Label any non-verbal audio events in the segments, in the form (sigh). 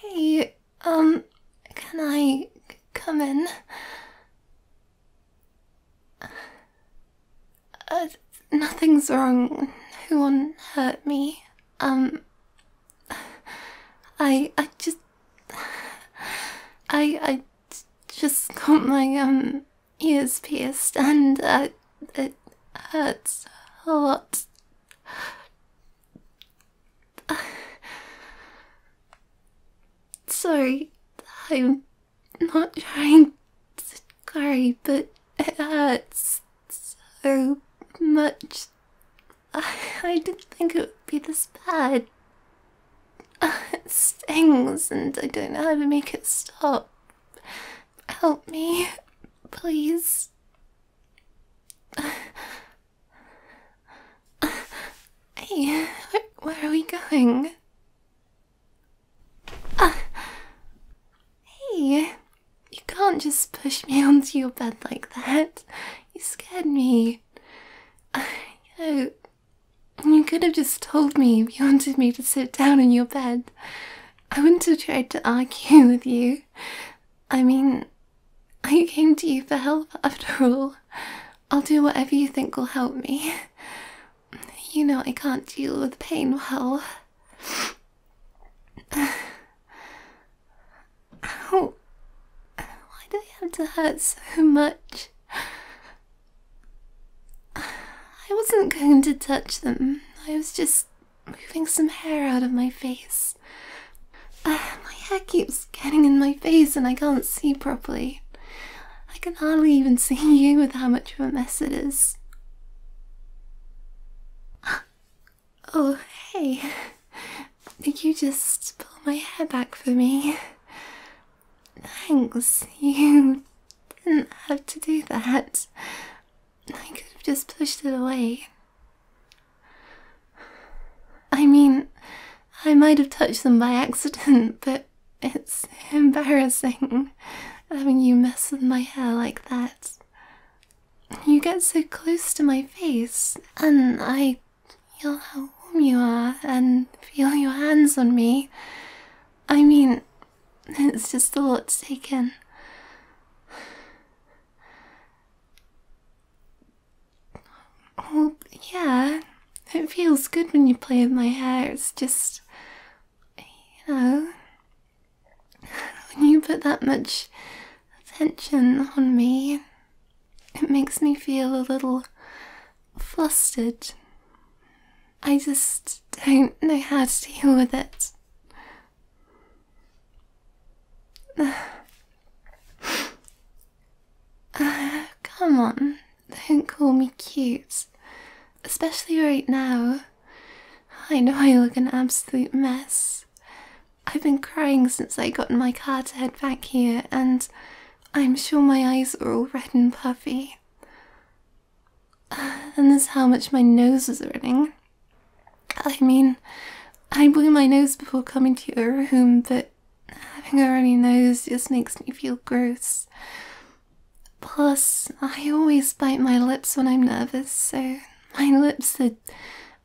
hey, um, can I come in? Uh, nothing's wrong. Who won't hurt me. Um, I, I just, I, I just got my, um, he pierced and uh, it hurts a lot. (sighs) Sorry, I'm not trying to cry, but it hurts so much. (sighs) I didn't think it would be this bad it stings and I don't know how to make it stop. Help me, please. Hey, where, are we going? hey, you can't just push me (laughs) onto your bed like that. You scared me. Uh, you could have just told me if you wanted me to sit down in your bed. I wouldn't have tried to argue with you. I mean, I came to you for help after all. I'll do whatever you think will help me. You know I can't deal with pain well. Ow! Why do they have to hurt so much? (sighs) I wasn't going to touch them. I was just moving some hair out of my face. (sighs) my hair keeps getting in my face and I can't see properly. I can hardly even (laughs) see you with how much of a mess it is. (gasps) Oh, hey. (laughs) You just pull my hair back for me. Thanks, (laughs) you didn't have to do that. I could have just pushed it away. I mean, I might have touched them by accident, (laughs) but it's embarrassing having you mess with my hair like that. You get so close to my face, and I feel how warm you are and feel your hands on me. I mean, it's just a lot taken. take yeah, it feels good when you play with my hair. It's just, you know, when you put that much attention on me, it makes me feel a little flustered. I just don't know how to deal with it. (sighs) Uh, come on, don't call me cute. Especially right now. I know I look an absolute mess. I've been crying since I got in my car to head back here, and I'm sure my eyes are all red and puffy. And this is how much my nose is running. I mean, I blew my nose before coming to your room, but having a runny nose just makes me feel gross. Plus, I always bite my lips when I'm nervous, so my lips are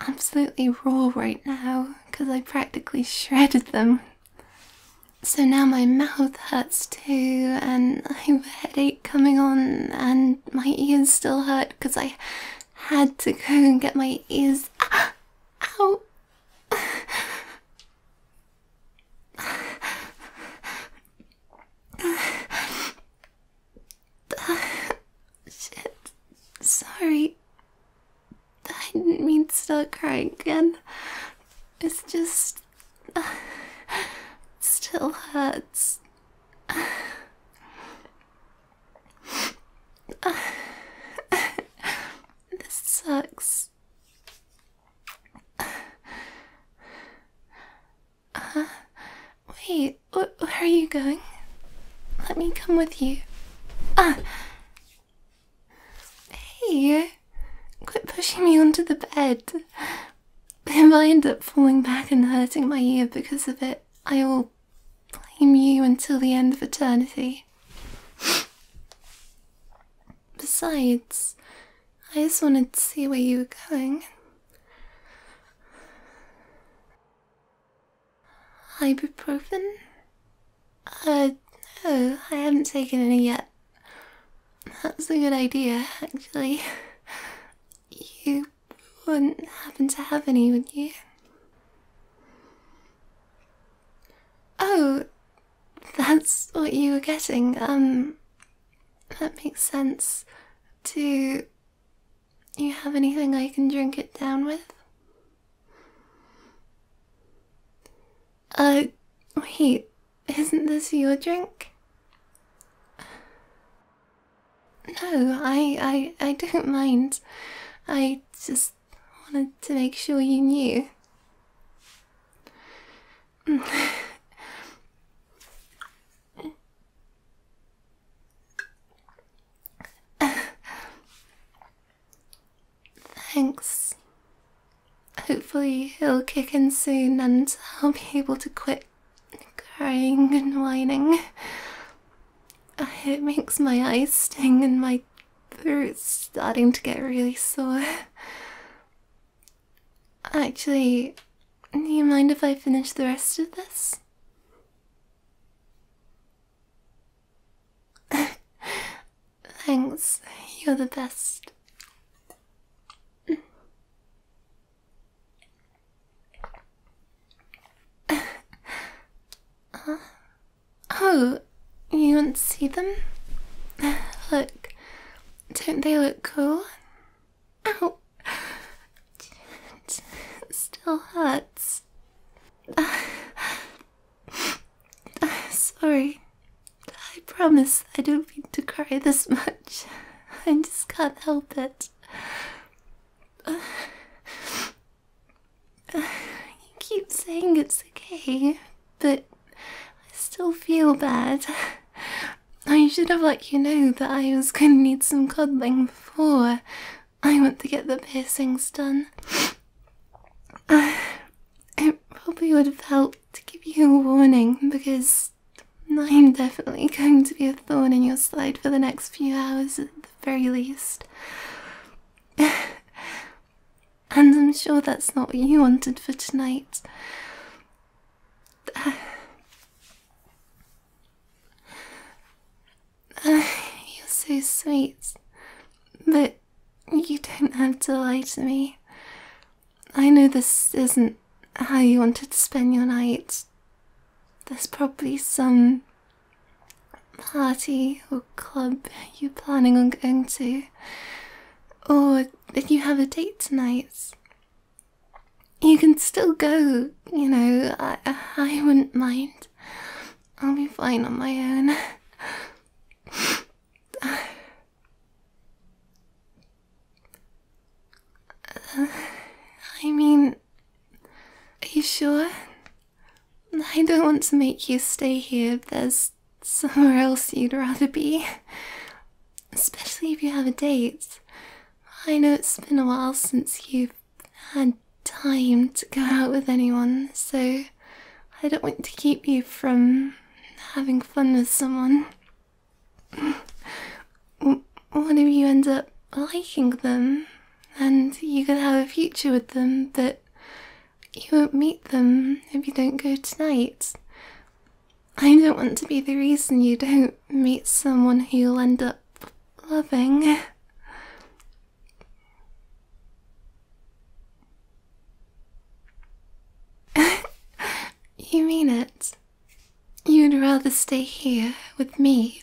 absolutely raw right now because I practically shredded them so now my mouth hurts too, and I have a headache coming on, and my ears still hurt because I had to go and get my ears. (gasps) out. (sighs) Shit. Sorry. I didn't mean to start crying again. It's just. (sighs) still hurts. this sucks. wait, where are you going? Let me come with you. Ah, Hey, quit pushing me onto the bed. If I end up falling back and hurting my ear because of it, I will blame you until the end of eternity. Besides, I just wanted to see where you were going. Ibuprofen? Uh, no, I haven't taken any yet. That's a good idea, actually. You wouldn't happen to have any, would you? Oh, that's what you were getting. Um, that makes sense. Do you have anything I can drink it down with? Uh, wait, isn't this your drink? No, I, I, I don't mind. I just wanted to make sure you knew. (laughs) Thanks. Hopefully he'll kick in soon and I'll be able to quit crying and whining. It makes my eyes sting and my throat's starting to get really sore. Actually, do you mind if I finish the rest of this? (laughs) Thanks, you're the best. (laughs) oh, you want not see them? (sighs) Look, don't they look cool? Oh, (laughs) still hurts. (laughs) Sorry. I promise I don't mean to cry this much. (laughs) I just can't help it. Uh, (sighs) you keep saying it's okay, but I still feel bad. (laughs) I should have let you know that I was going to need some cuddling before I went to get the piercings done. (sighs) it probably would have helped to give you a warning because I'm definitely going to be a thorn in your side for the next few hours at the very least. (sighs) and I'm sure that's not what you wanted for tonight. (sighs) you're so sweet, but you don't have to lie to me. I know this isn't how you wanted to spend your night. There's probably some party or club you're planning on going to, or if you have a date tonight. You can still go, you know, I, I wouldn't mind. I'll be fine on my own. (laughs) Uh, (sighs) I mean, are you sure? I don't want to make you stay here there's somewhere else you'd rather be. Especially if you have a date. I know it's been a while since you've had time to go out with anyone, so I don't want to keep you from having fun with someone. What if you end up liking them and you can have a future with them, but you won't meet them if you don't go tonight? I don't want to be the reason you don't meet someone who you'll end up loving. (laughs) you mean it? You'd rather stay here with me,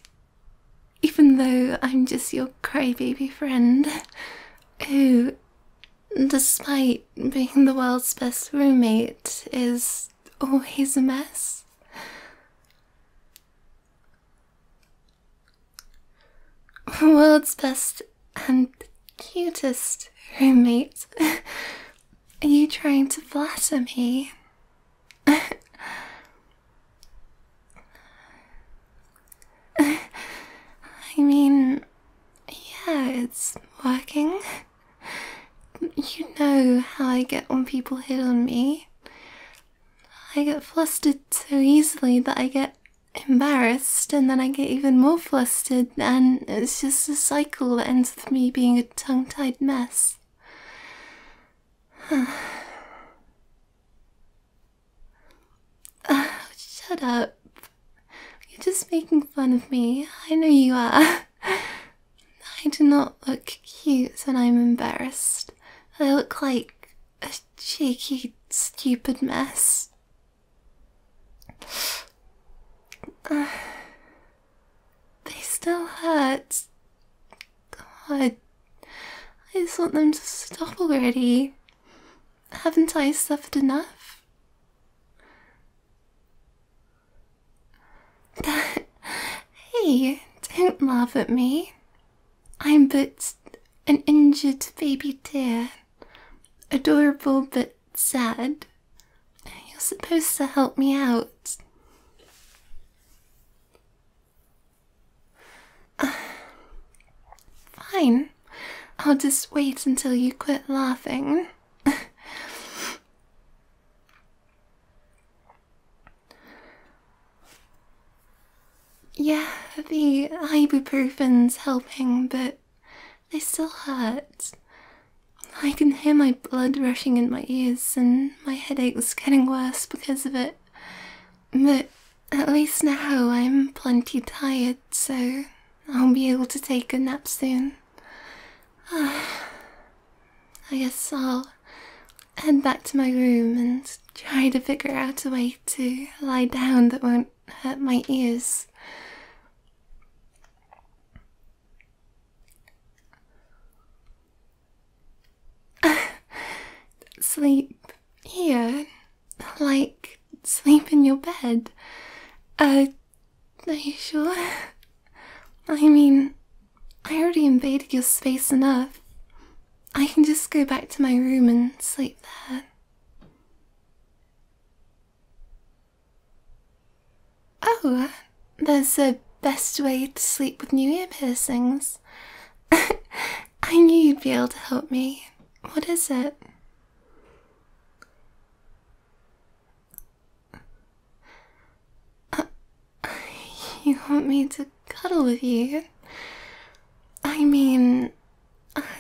even though I'm just your crybaby friend, who, despite being the world's best roommate, is always a mess? World's best and cutest roommate. Are you trying to flatter me? I mean, yeah, it's working. You know how I get when people hit on me. I get flustered so easily that I get embarrassed and then I get even more flustered, and it's just a cycle that ends with me being a tongue tied mess. (sighs) Ah, shut up. You're just making fun of me. I know you are. (laughs) I do not look cute when I'm embarrassed. I look like a cheeky, stupid mess they still hurt. God, I just want them to stop already. Haven't I suffered enough? (laughs) hey, don't laugh at me. I'm but an injured baby dear. Adorable but sad. You're supposed to help me out. (sighs) fine. I'll just wait until you quit laughing. (laughs) yeah, the ibuprofen's helping, but they still hurt. I can hear my blood rushing in my ears, and my headache was getting worse because of it. But at least now I'm plenty tired, so I'll be able to take a nap soon. (sighs) I guess I'll head back to my room and try to figure out a way to lie down that won't hurt my ears. (laughs) sleep here, like sleep in your bed. Uh, are you sure? (laughs) I mean, I already invaded your space enough. I can just go back to my room and sleep there. Oh, there's the best way to sleep with new ear piercings. (laughs) I knew you'd be able to help me. What is it? Uh, you want me to cuddle with you? I mean,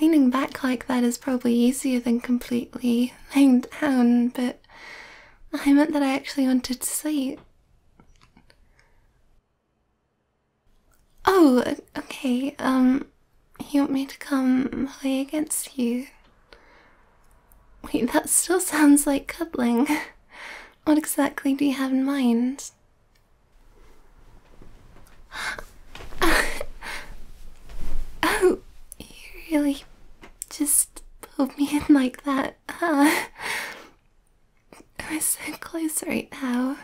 Leaning back like that is probably easier than completely laying down, but I meant that I actually wanted to sleep. Oh, okay, um, you want me to come lay against you? Wait, that still sounds like cuddling. (laughs) What exactly do you have in mind? (laughs) oh, you really just pulled me in like that, huh? We're so close right now.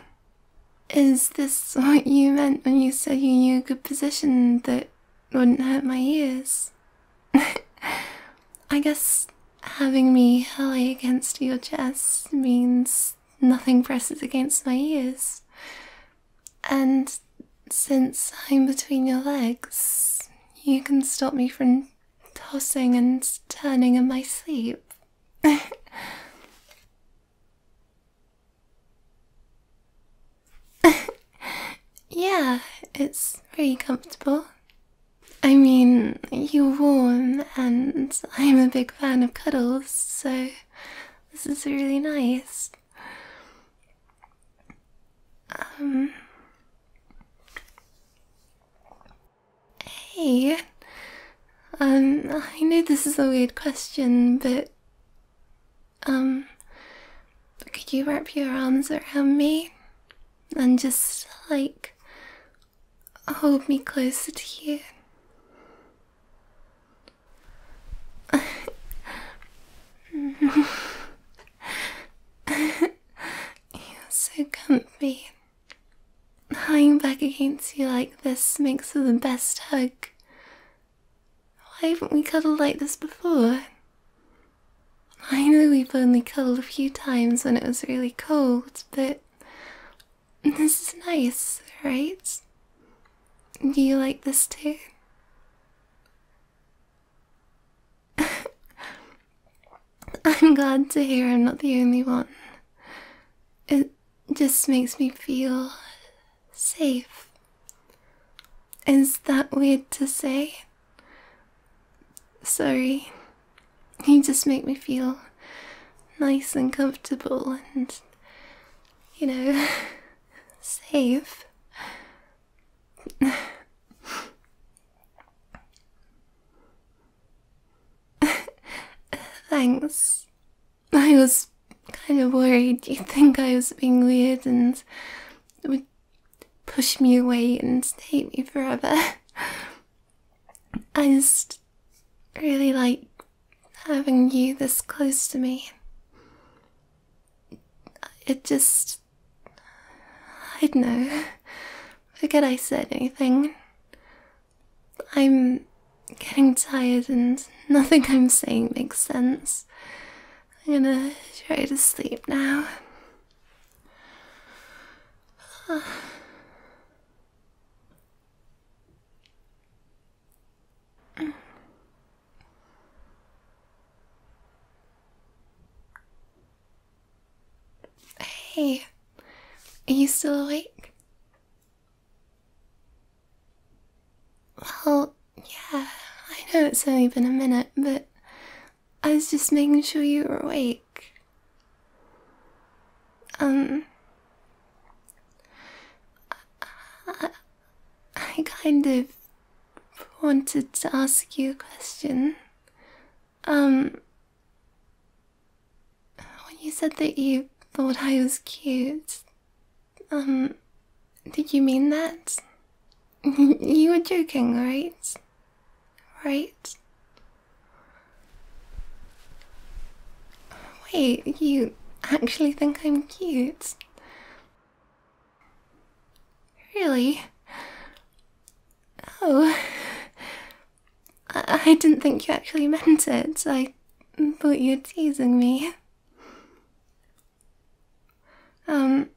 Is this what you meant when you said you knew a good position that wouldn't hurt my ears? (laughs) I guess having me hurley against your chest means nothing presses against my ears. And since I'm between your legs, you can stop me from tossing and turning in my sleep. (laughs) yeah, it's very comfortable. I mean, you're warm, and I'm a big fan of cuddles, so this is really nice. Um. Hey. Um, I know this is a weird question, but. Um. Could you wrap your arms around me? And just, like. hold me closer to you? You're so comfy. Lying back against you like this makes for the best hug. Why haven't we cuddled like this before? I know we've only cuddled a few times when it was really cold, but this is nice, right? Do you like this too? (laughs) I'm glad to hear I'm not the only one. It just makes me feel safe. Is that weird to say? Sorry. You just make me feel nice and comfortable and you know, (laughs) safe. (laughs) Thanks. I was kind of worried you'd think I was being weird and would push me away and hate me forever. (laughs) I just really like having you this close to me. It just. I don't know. Forget I said anything. I'm getting tired and nothing I'm saying makes sense. I'm gonna try to sleep now. Hey, are you still awake? Well, yeah, I know it's only been a minute, but I was just making sure you were awake. Um, I, I kind of wanted to ask you a question. Um, when you said that you thought I was cute, um, did you mean that? (laughs) you were joking, right? Right? Wait, you actually think I'm cute? Really? Oh. I, didn't think you actually meant it. I thought you were teasing me. Um.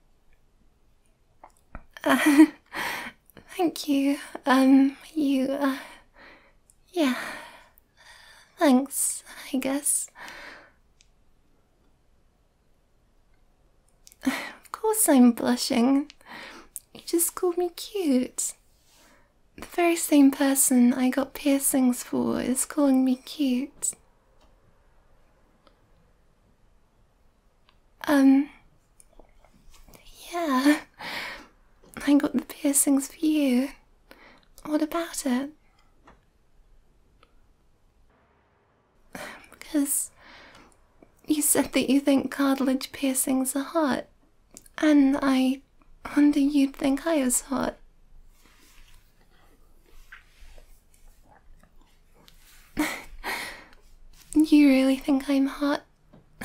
(laughs) thank you. Um, you, uh. Yeah, Thanks, I guess. Of course, I'm blushing. You just called me cute. The very same person I got piercings for is calling me cute. Um, yeah, I got the piercings for you. What about it? Because you said that you think cartilage piercings are hot, and I wonder you'd think I was hot. (laughs) you really think I'm hot? (laughs)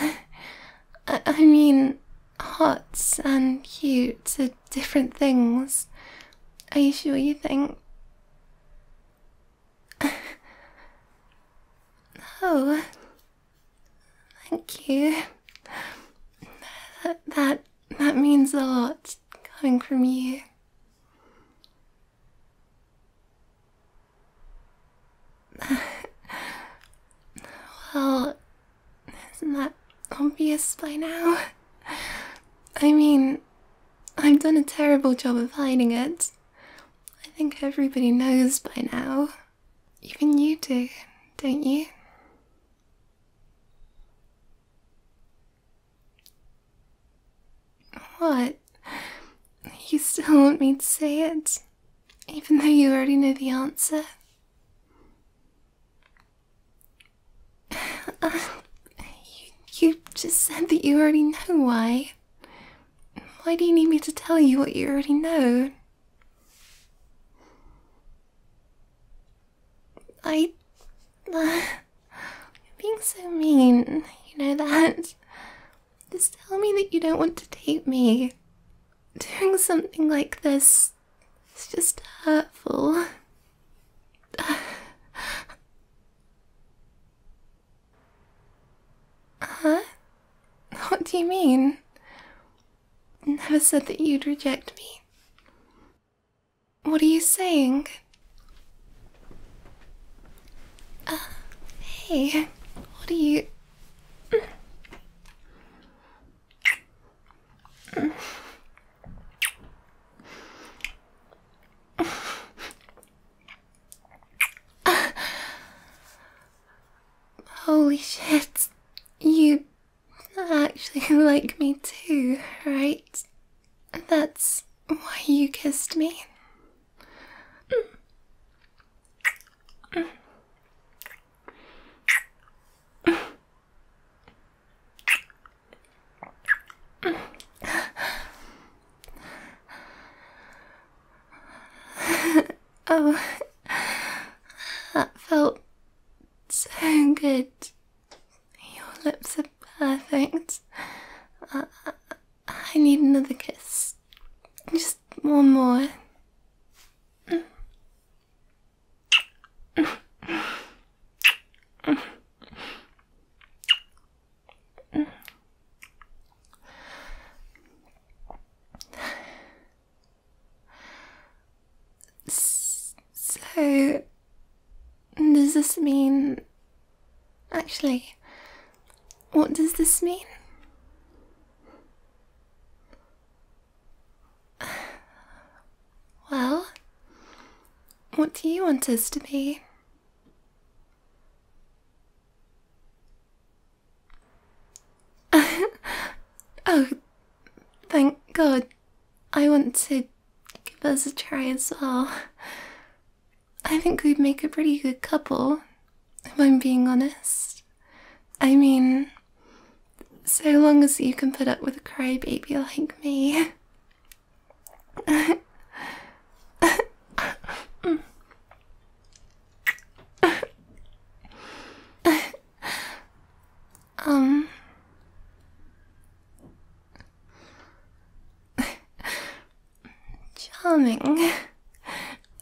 I, mean, Hot and cute are different things. Are you sure you think? (laughs) oh, thank you. That, that that means a lot coming from you. (laughs) well, isn't that obvious by now? I mean, I've done a terrible job of hiding it. I think everybody knows by now. Even you do, don't you? What? You still want me to say it, even though you already know the answer? (laughs) you, just said that you already know why. Why do you need me to tell you what you already know? I. Uh, (sighs) you're being so mean, you know that. Just tell me that you don't want to date me. Doing something like this it's just hurtful. huh? What do you mean? Never said that you'd reject me. What are you saying? Uh, hey, what are you. Holy shit, you actually (laughs) like me too, right? That's why you kissed me oh, that felt so good. Your lips are perfect. I need another kiss. Just one more. So, does this mean. Actually, what does this mean? Well, what do you want us to be? (laughs) oh, thank God. I want to give us a try as well. I think we'd make a pretty good couple, if I'm being honest. I mean, so long as you can put up with a crybaby like me. um. Charming.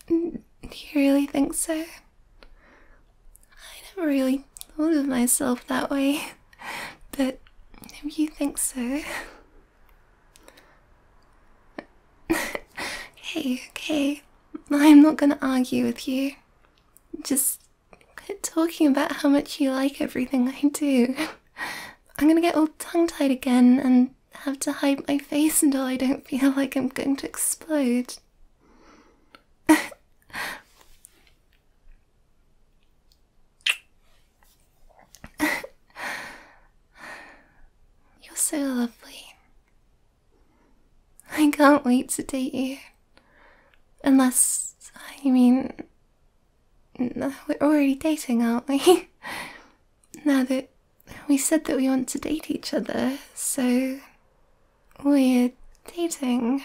Do you really think so? I never really thought of myself that way, (laughs) but if you think so. (laughs) okay, okay. I'm not gonna argue with you. Just quit talking about how much you like everything I do. (laughs) I'm gonna get all tongue tied again and have to hide my face until I don't feel like I'm going to explode. (laughs) You're so lovely. I can't wait to date you. Unless, I mean, we're already dating, aren't we? (laughs) now that we said that we want to date each other, so we're dating,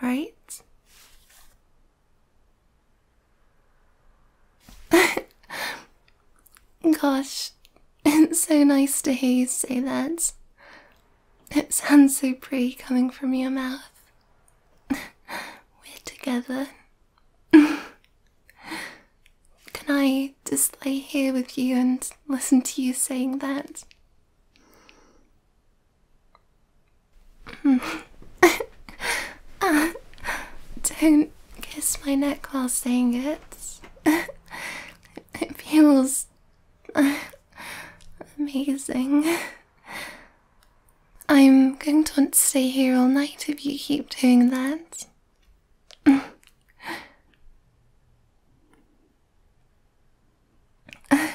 right? (laughs) Gosh, it's so nice to hear you say that. It sounds so pretty coming from your mouth. (laughs) We're together. (laughs) Can I just lay here with you and listen to you saying that. Hmm. (laughs) Uh, don't kiss my neck while saying it. (laughs) it feels uh, amazing. I'm going to want to stay here all night if you keep doing that. (laughs)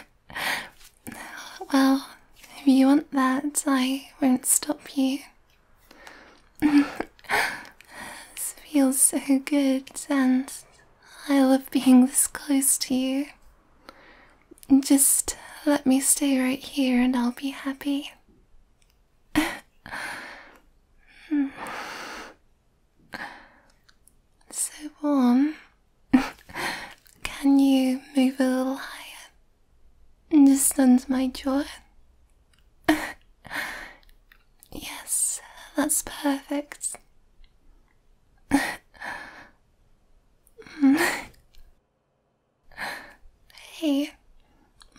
well, if you want that, I won't stop you. (laughs) this feels so good, and I love being this close to you. Just let me stay right here and I'll be happy. (laughs) Hmm. So warm. (laughs) Can you move a little higher? Just under my jaw. (laughs) yes, that's perfect. (laughs) hey,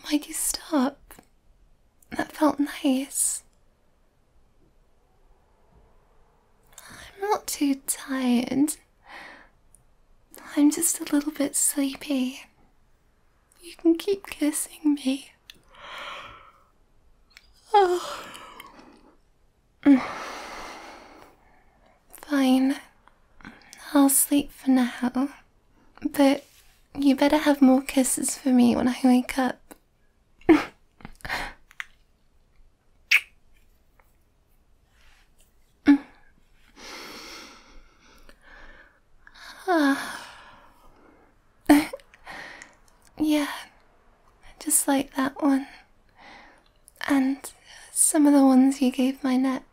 why you stop? That felt nice. I'm not too tired. I'm just a little bit sleepy. You can keep kissing me. Oh. (sighs) Fine. I'll sleep for now. But you better have more kisses for me when I wake up yeah, just like that one. And some of the ones you gave my neck.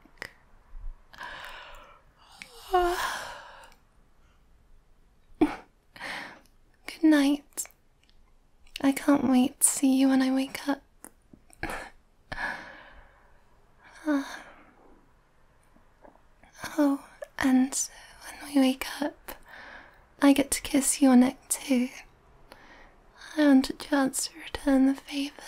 Good night. I can't wait to see you when I wake up. (sighs) Oh, and when we wake up, I get to kiss your neck too. I want a chance to return the favour.